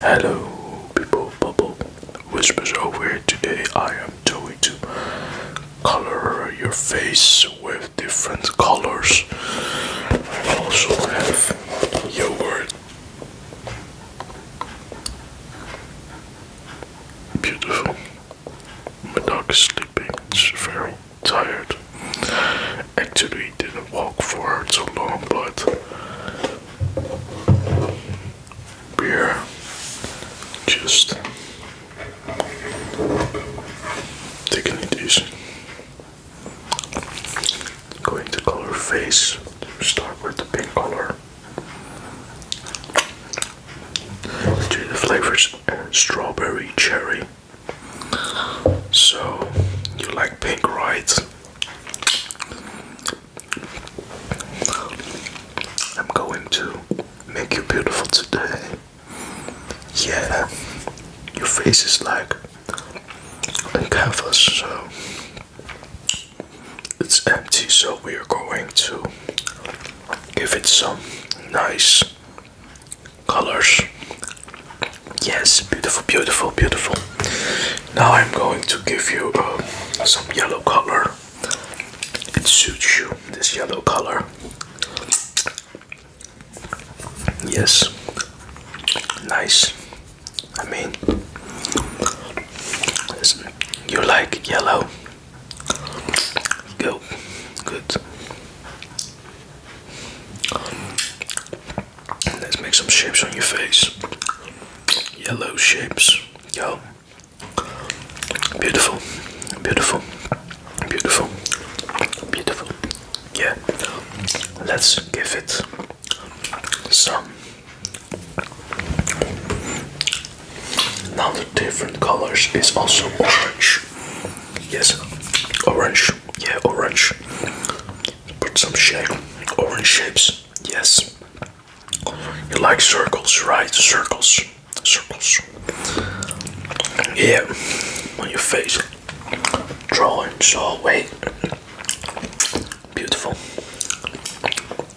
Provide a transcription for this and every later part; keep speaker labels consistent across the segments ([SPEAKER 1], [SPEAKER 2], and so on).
[SPEAKER 1] Hello, people, bubble whispers over here. Today, I am going to color your face with different colors. I also have yogurt, beautiful. My dog is sleeping, it's very tired. Actually, didn't walk for too long, but beer just taking it easy going to color face start with the pink color to the flavors strawberry cherry so you like pink right I'm going to make you beautiful today. Yeah, your face is like a canvas, so it's empty, so we are going to give it some nice colors. Yes, beautiful, beautiful, beautiful. Now I'm going to give you uh, some yellow color. It suits you, this yellow color. Yes, nice. I mean, you like yellow? Go, good. Let's make some shapes on your face. Yellow shapes. Yo. Beautiful. Beautiful. Beautiful. Beautiful. Yeah. Let's give it some. Now the different colors is also orange. Yes, orange. Yeah, orange. Put some shape. Orange shapes. Yes. You like circles, right? Circles. Circles. Yeah. On your face. Drawings all way. Beautiful.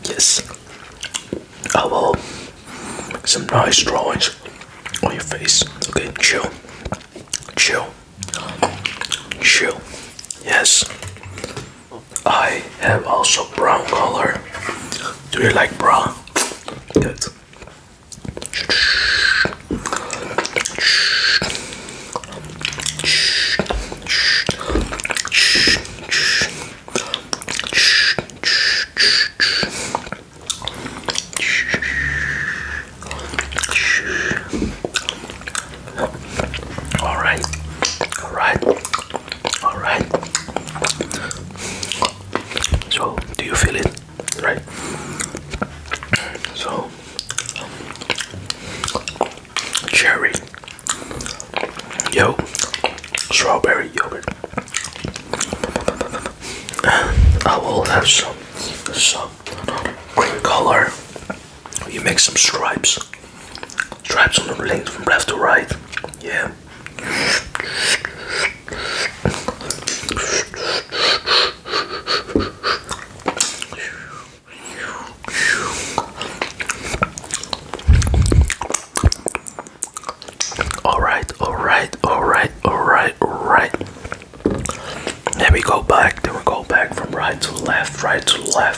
[SPEAKER 1] Yes. I will some nice drawings on your face. Okay, chill. Chill. Chill. Yes. I have also brown color. Do you like brown? Good. All right, all right, all right. So, do you feel it? Right. So, cherry, yo, strawberry yogurt. I will have some some color you make some stripes stripes on the length from left to right yeah all right all right all right all right all right then we go back then we go back from right to left right to left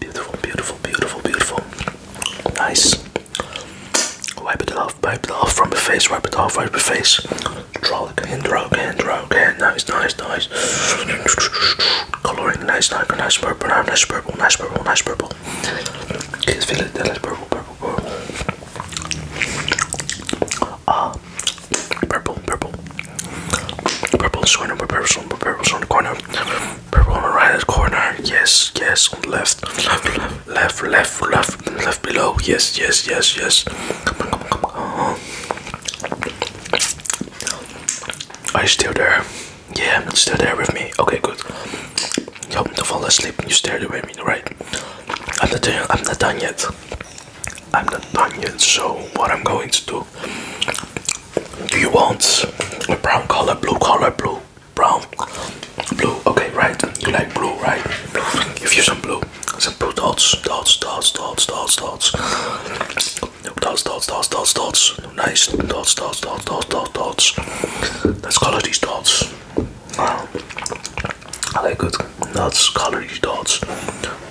[SPEAKER 1] Beautiful, beautiful, beautiful, beautiful. Nice. Wipe it off, wipe it off from the face, wipe it off, wipe the face. Draw again, draw again, draw Nice, nice, nice. Coloring, nice, nice, nice purple, nice purple, nice purple, nice purple. Kids feel it, that is purple, purple, purple uh, purple, purple, purple, so number purple, purple, so on the corner, purple on the right hand corner, yes, yes, on the left, left, left, left, left, left below, yes, yes, yes, yes. Come on, come on, come on. Are you still there? Yeah, still there with me. Okay, good. You help me to fall asleep. You stared away at me, right? I'm not done. I'm not done yet. I'm not done yet, so what I'm going to do. Do you want a brown color, blue color, blue, brown, blue? Okay, right. You like blue, right? Give you some blue, some blue dots, dots, dots, dots, dots, dots, dots, dots, dots, dots, dots. Nice dots, dots, dots, dots, dots, dots. Let's color these dots. I like good dots, colory dots,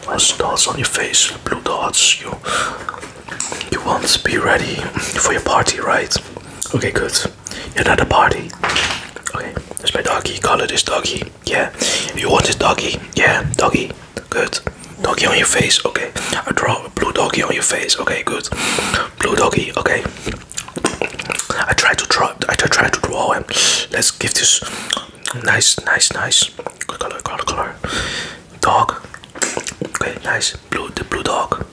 [SPEAKER 1] nice dots on your face, blue dots. You, you want to be ready for your party, right? Okay, good. You're at a party. Okay, there's my doggy. Color this doggy. Yeah, you want this doggy? Yeah, doggy. Good. Doggy on your face. Okay, I draw blue doggy on your face. Okay, good. Blue doggy. Okay. I try to draw. I try to draw him. Let's give this Nice, nice, nice. Good color, color, color. Dog. Okay, nice. Blue, the blue dog.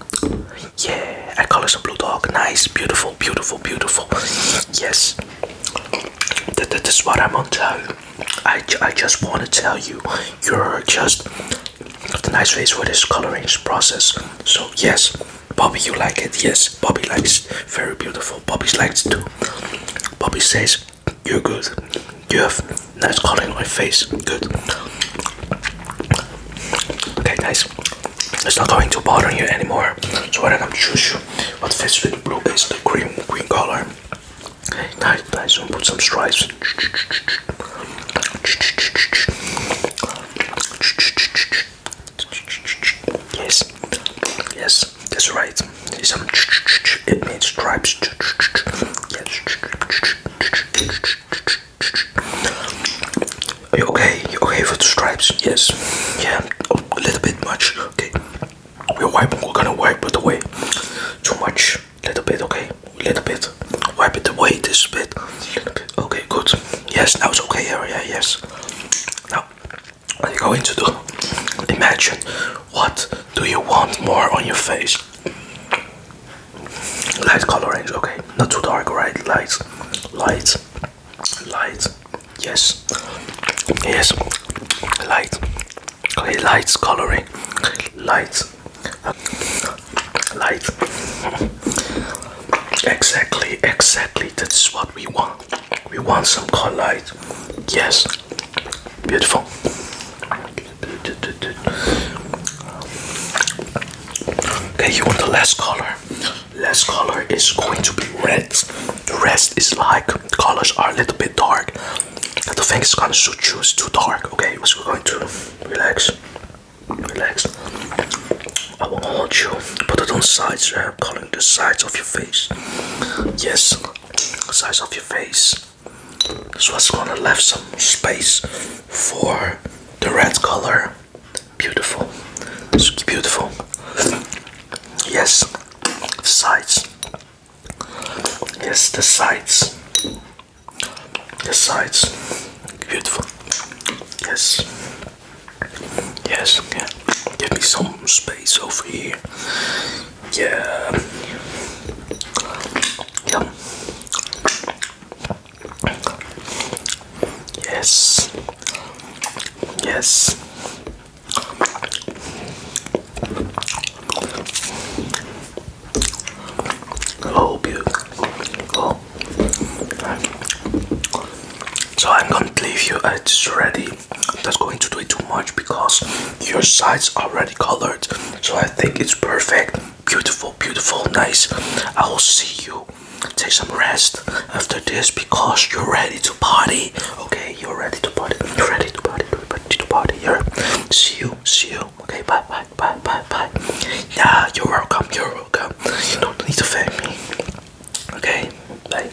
[SPEAKER 1] Yeah, I color some blue dog. Nice, beautiful, beautiful, beautiful. Yes. That, that is what I'm on tell you. I, I just want to tell you, you're just the nice face for this coloring process. So yes, Bobby, you like it? Yes, Bobby likes Very beautiful. Bobby likes too. Bobby says, You're good. You have nice color in my face. Good. Okay, nice. It's not going to bother you anymore. So I'm going choose What fits with blue is the green green color. Nice, nice. I'll put some stripes. Yes, yes, that's right. it means stripes. Yes. okay? okay with the stripes? Yes. Yeah. a little bit much. Okay. We're wiping. We're gonna wipe it away. Too much. Little bit. Okay. Little bit. Wipe it away. This bit. Okay. Good. Yes. Now it's okay. Yeah. Yeah. Yes. Now. What are you going to do? Imagine what do you want more on your face? Light colorings, okay. Not too dark, right? Light, light, light. Yes, yes. Light, okay. Light coloring, light, light. Exactly, exactly. That's what we want. We want some color light. Yes. Beautiful. Okay, you want the last color. Last color is going to be red. The rest is like the colors are a little bit dark. I don't think it's gonna suit too dark. Okay, we're going to relax. Relax. I will want you put it on sides, uh, calling the sides of your face. Yes, sides of your face. So it's gonna leave some space for the red color. Beautiful. It's beautiful. Yes, sides. Yes, the sides. The sides. Beautiful. Yes. Yes, yeah. give me some space over here. Yeah. Yum. Yes. Yes. Oh, beautiful. Oh. So I'm going to leave you. It's already that's going to do it too much because your sides are already colored. So I think it's perfect. Beautiful, beautiful, nice. I will see you. Take some rest after this because you're ready to party. Okay, you're ready to party. You're ready to party. You're ready to party. Here. See you. See you. Okay, bye, bye, bye, bye, bye. Yeah, you're welcome. You're welcome. You don't need to thank me. Okay, bye.